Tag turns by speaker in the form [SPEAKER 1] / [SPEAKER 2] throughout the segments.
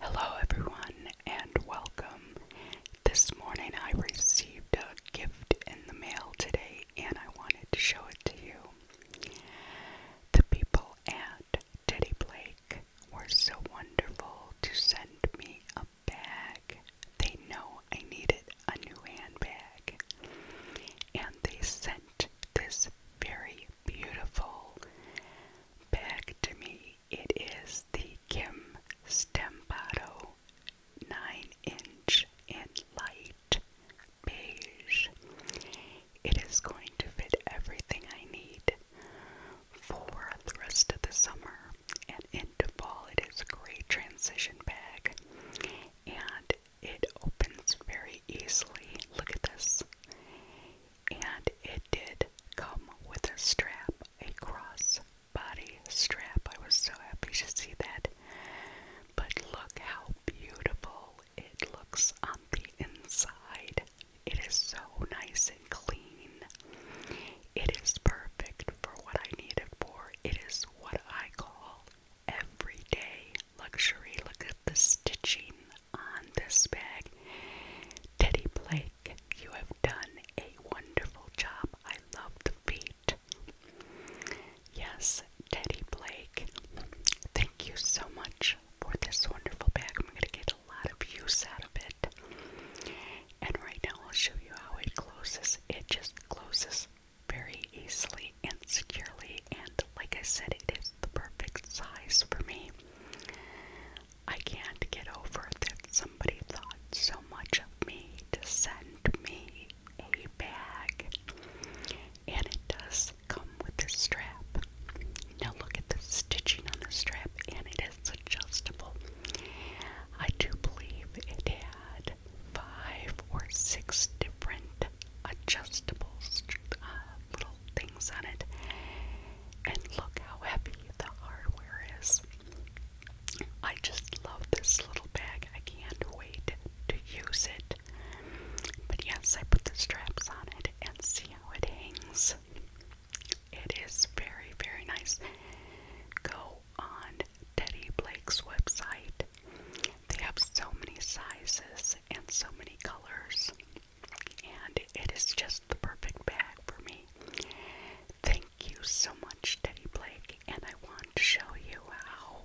[SPEAKER 1] Hello, everyone, and welcome. This morning I received a gift in the mail today, and I wanted to show it to you. The people at Teddy Blake were so wonderful to send me a bag. They know I needed a new handbag, and they sent this very beautiful bag to me. It is the Kim Stampato 9 inch in light beige. It is going to fit everything I need for the rest of the summer and into fall. It is a great transition bag and it opens very easily. Look at this. And it did come with a strap, a cross body strap. I was so happy to see that. But look how beautiful it looks on the inside. It is so nice and clean. It is perfect for what I need it for. It is what I call everyday luxury. Look at the stitching on this bag. Teddy Blake, you have done a wonderful job. I love the feet. Yes, Teddy Blake, thank you so much for this wonderful bag. I'm going to get a lot of use out of it. And right now, I'll show you how it closes. It just closes very easily and securely, and like I said, it is the perfect size for me. I can't get over that somebody thought so much of me to send me a bag, and it does come with a strap. Now, look at the stitching on the strap, and it is adjustable. I do believe it had had five or six different adjustable uh, little things on it. And look how heavy the hardware is. I just love this little bag. I can't wait to use it. But yes, I put the straps on it and see how it hangs. It is very, very nice. Go on Teddy Blake's website. They have so many sizes and so many colors, and it is just the perfect bag for me. Thank you so much, Teddy Blake, and I want to show you how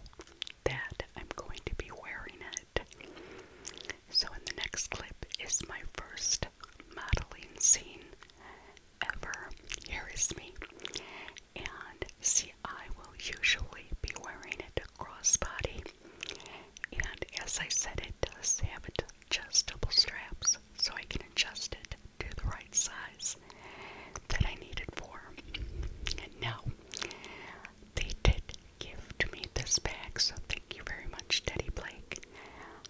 [SPEAKER 1] that I'm going to be wearing it. So, in the next clip is my first modeling scene ever hears me. And see, I will usually be wearing it crossbody. And as I said, it does have adjustable straps, so I can adjust it to the right size that I need it for. And now, they did gift me this bag, so thank you very much, Teddy Blake.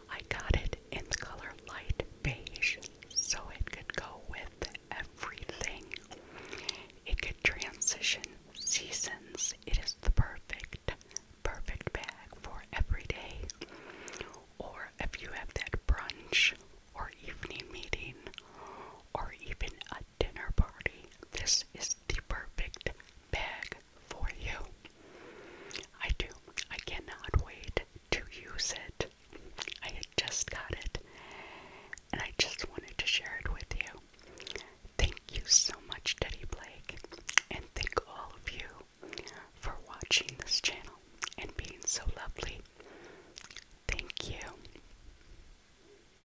[SPEAKER 1] I got it in color light beige, so it could go with everything. It could transition seasons. It is the perfect, perfect bag for every day. Or if you have that brunch or evening meeting or even a dinner party, this is the perfect bag for you. I do. I cannot wait to use it. I just got it and I just wanted to share it with you. Thank you so much, Teddy Blake, and thank all of you for watching this channel and being so lovely. Thank you.